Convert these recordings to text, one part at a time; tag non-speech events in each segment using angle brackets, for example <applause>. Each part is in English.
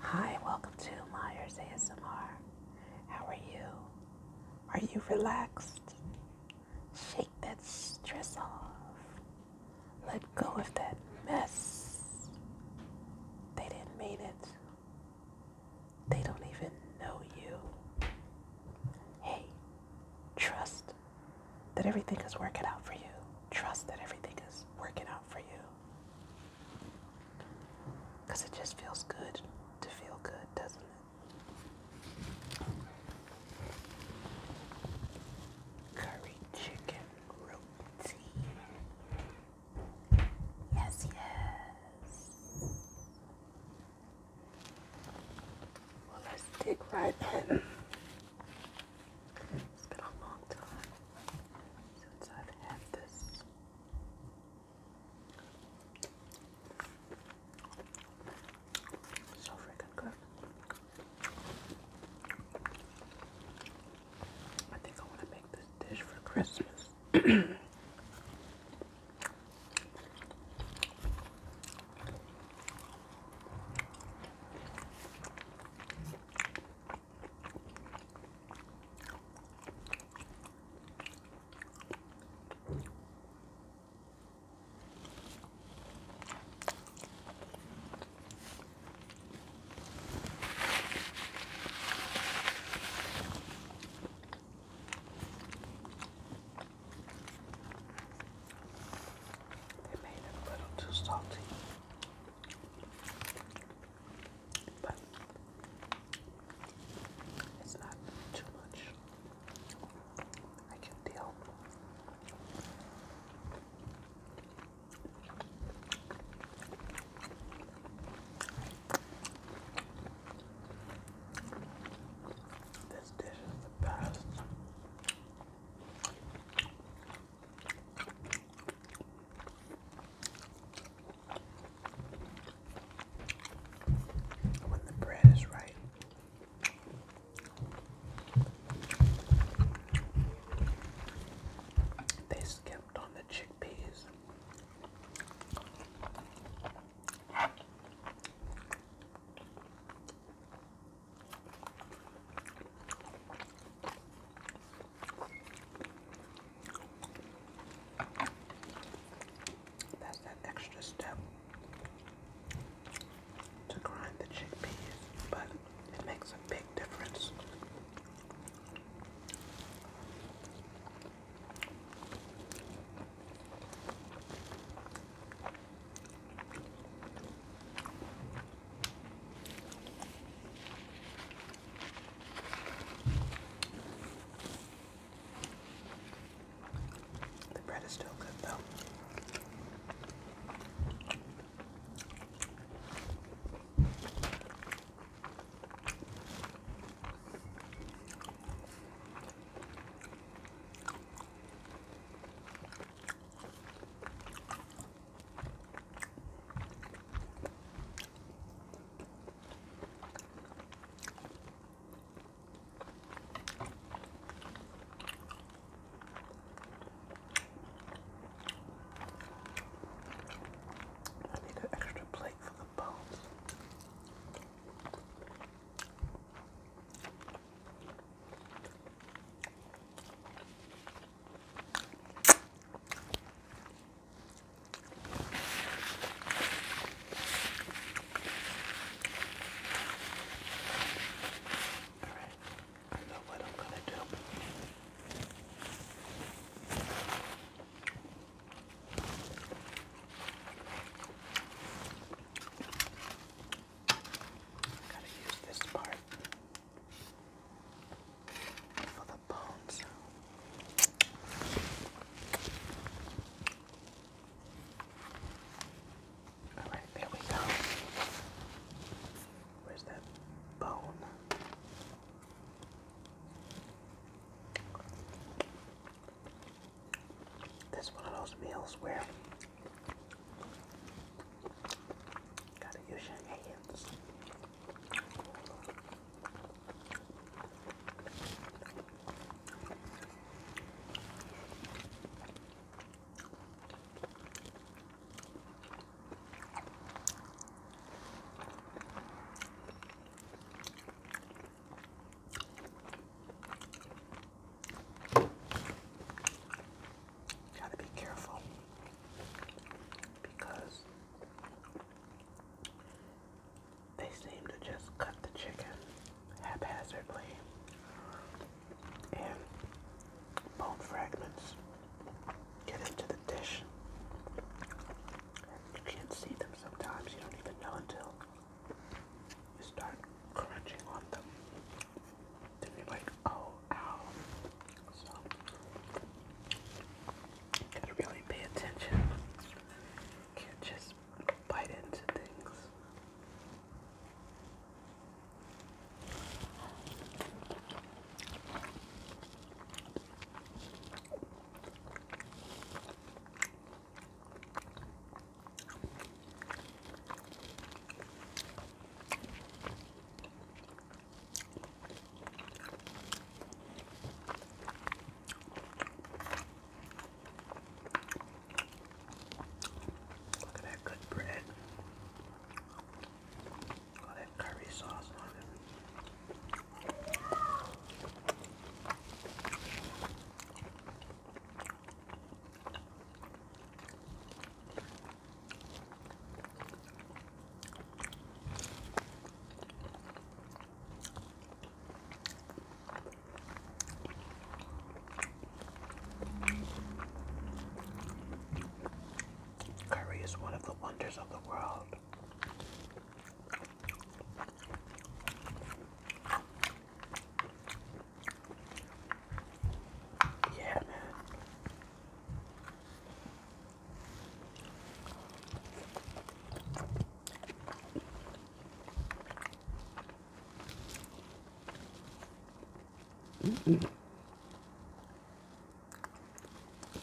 Hi, welcome to Myers ASMR. How are you? Are you relaxed? Shake that stress off. Let go of that mess. They didn't mean it. They don't even know you. Hey, trust that everything is working out for you. Trust that everything is working out for you. Because it just feels good to feel good, doesn't it? Curry chicken roti. Yes, yes. Well, let's dig right in. It's been a long time since I've had this. So freaking good. I think I want to make this dish for Christmas. They made it a little too salty but it's not too much. I can deal. This dish is the best. When the bread is right. They skipped on the chickpeas. That's that extra step to grind the chickpeas, but it makes a big difference. The bread is still good though. I need an extra plate for the bones. Alright, I know what I'm gonna do. Gotta use this part for the bones. All right, there we go. Where's that bone? That's one of those meals where Gotta use your hands gotta be careful because they seem to just cut the chicken haphazardly and bone fragments get into the dish. You can't see them sometimes, you don't even know until you start crunching on them to be like, oh, ow. So, gotta really pay attention. Can't just bite into things. Look at that good bread. All that curry sauce on it. Curry is one of the wonders of the world. Yeah, man.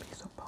Piece of bone.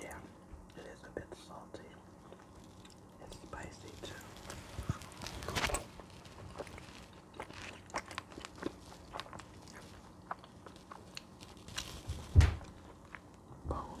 Yeah, it is a bit salty and spicy too. Bone.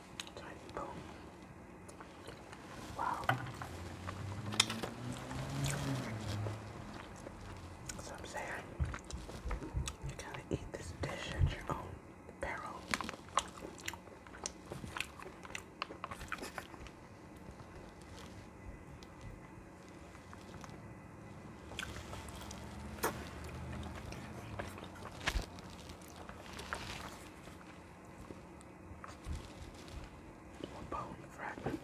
Tiny boom. Wow. I'm saying you gotta eat this dish at your own peril bone fragment.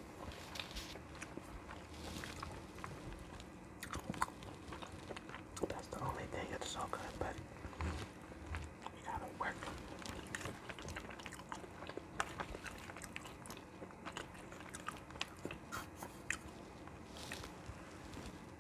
That's the only thing that's so good, but we gotta work.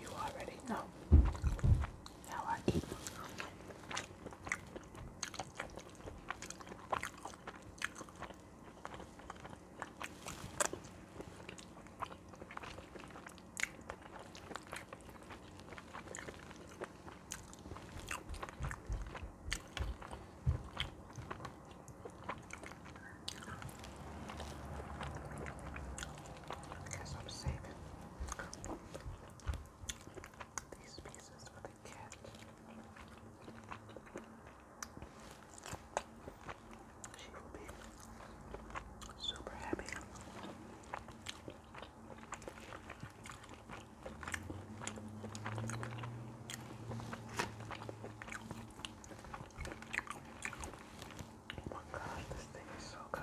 You already know how I eat. I guess I'm saving these pieces for the cat. She will be super happy. Oh my god, this thing is so good.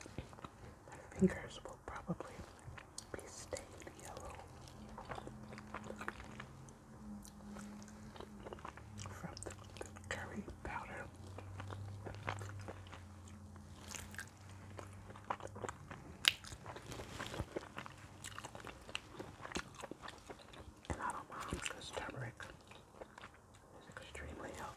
My fingers will probably be stained yellow from the, curry powder. And I don't turmeric it's extremely healthy.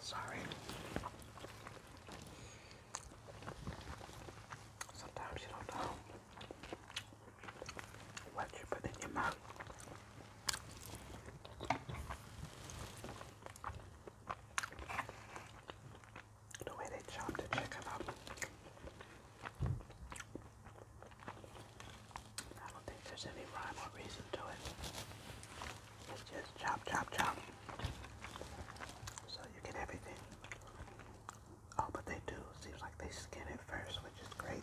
Sorry. Sometimes you don't know what you put in your mouth. The way they chop the chicken up. I don't think there's any rhyme or reason to it. It's just chop, chop, chop. So you get everything. Oh, but they do. Seems like they skin it first, which is great.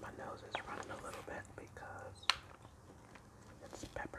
My nose is running a little bit because it's peppery.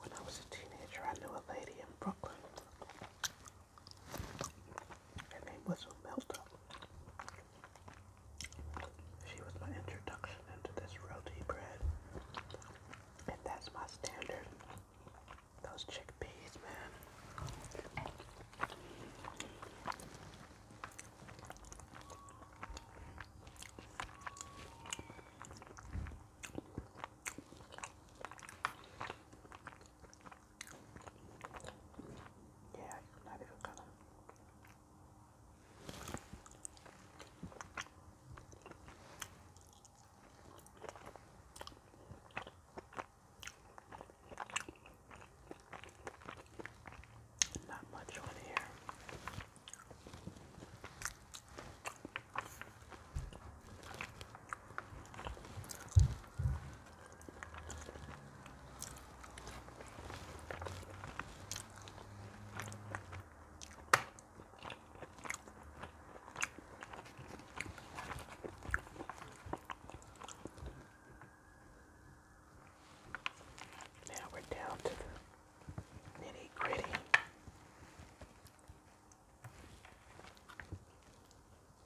When I was a teenager, I knew a lady in Brooklyn her name was Melta. She was my introduction into this roti bread. And that's my standard. Those chickpeas, man. Diğer yorumlara bir bakalım. Not much on here. Now we're down to the nitty gritty.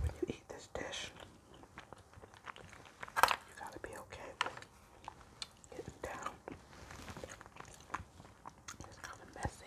when you eat this dish, you gotta be okay getting down. It's kind messy.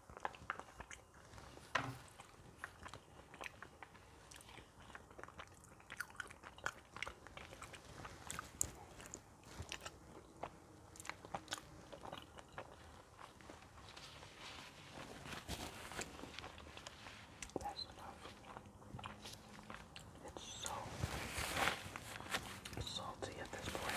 That's enough. It's so salty at this point.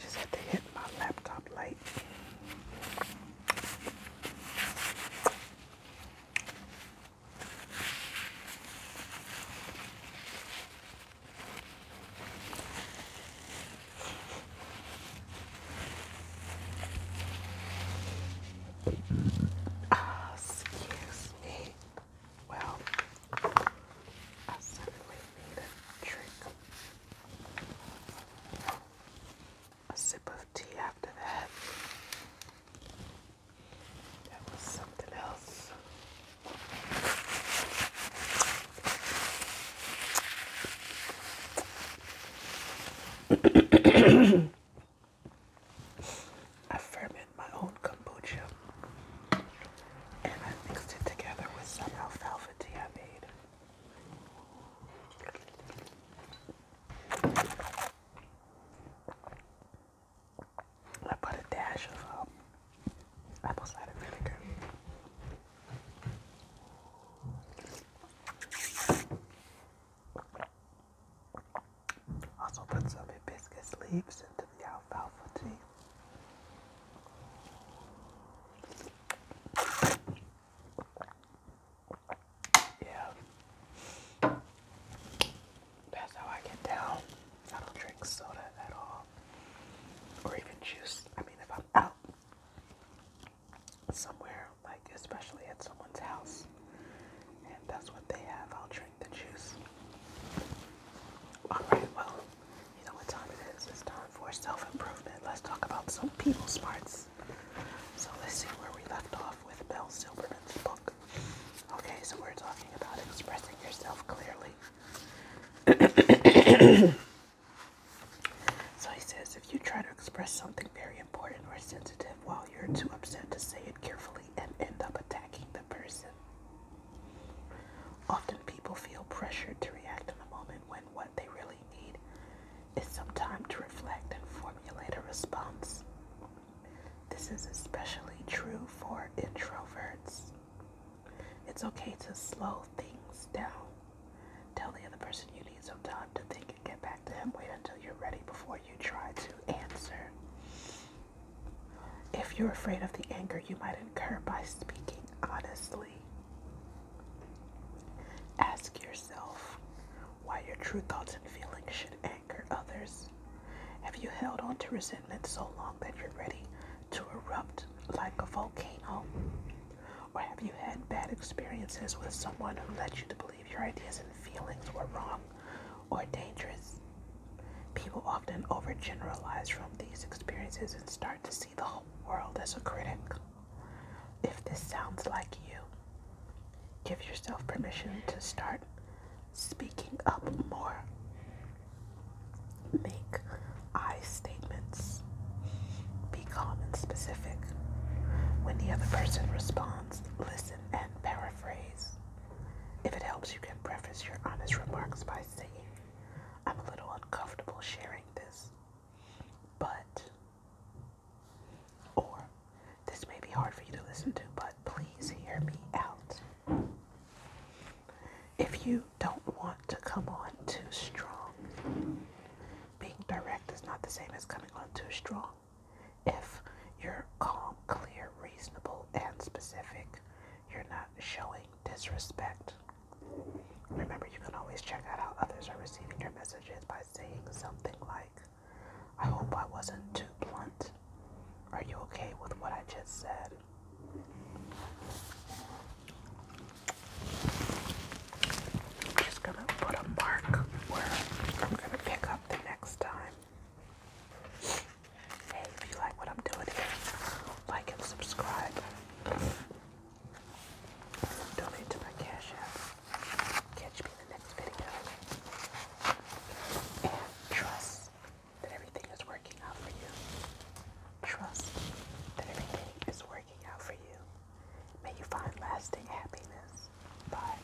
Just had to hit my laptop light. Ah, excuse me. Well, I certainly need a drink. A sip of tea after that. That was something else. <clears throat> I ferment my own kombucha and I mixed it together with some alfalfa tea I made. I put a dash of um, apple cider vinegar. Also put some hibiscus leaves into the alfalfa tea. Yeah. That's how I get down. I don't drink soda at all. Or even juice. I mean, if I'm out somewhere, like especially at someone's house, that's what they have, I'll drink the juice. Alright, well, you know what time it is. It's time for self improvement. Let's talk about some people smarts. So let's see where we left off with Mel Silverman's book. Okay, so we're talking about expressing yourself clearly. <coughs> so he says if you try to express something very important or sensitive while you're too upset to say it carefully and end up attacking the person, Often people feel pressured to react in the moment when what they really need is some time to reflect and formulate a response. This is especially true for introverts. It's okay to slow things down. Tell the other person you need some time to think and get back to him. Wait until you're ready before you try to answer. If you're afraid of the anger you might incur by speaking honestly, ask yourself why your true thoughts and feelings should anger others. Have you held on to resentment so long that you're ready to erupt like a volcano? Or have you had bad experiences with someone who led you to believe your ideas and feelings were wrong or dangerous? People often overgeneralize from these experiences and start to see the whole world as a critic. If this sounds like you, give yourself permission to start speaking up more. Make I statements. Be calm and specific. When the other person responds, listen and paraphrase. If it helps, you can preface your honest remarks by saying, I'm a little uncomfortable sharing this, but, or, this may be hard for you to listen to, but please hear me out. If you don't want to come on too strong, being direct is not the same as coming on too strong. If you're calm, clear, reasonable, and specific, you're not showing disrespect. Remember, you can always check out how others are receiving your messages by saying something like, I hope I wasn't too blunt. Are you okay with what I just said? just gonna put a mark where I'm gonna pick up the next time. Hey, if you like what I'm doing like and subscribe. Donate to my Cash App. Catch me in the next video. And trust that everything is working out for you. Trust that everything is working out for you. May you find lasting happiness. Bye.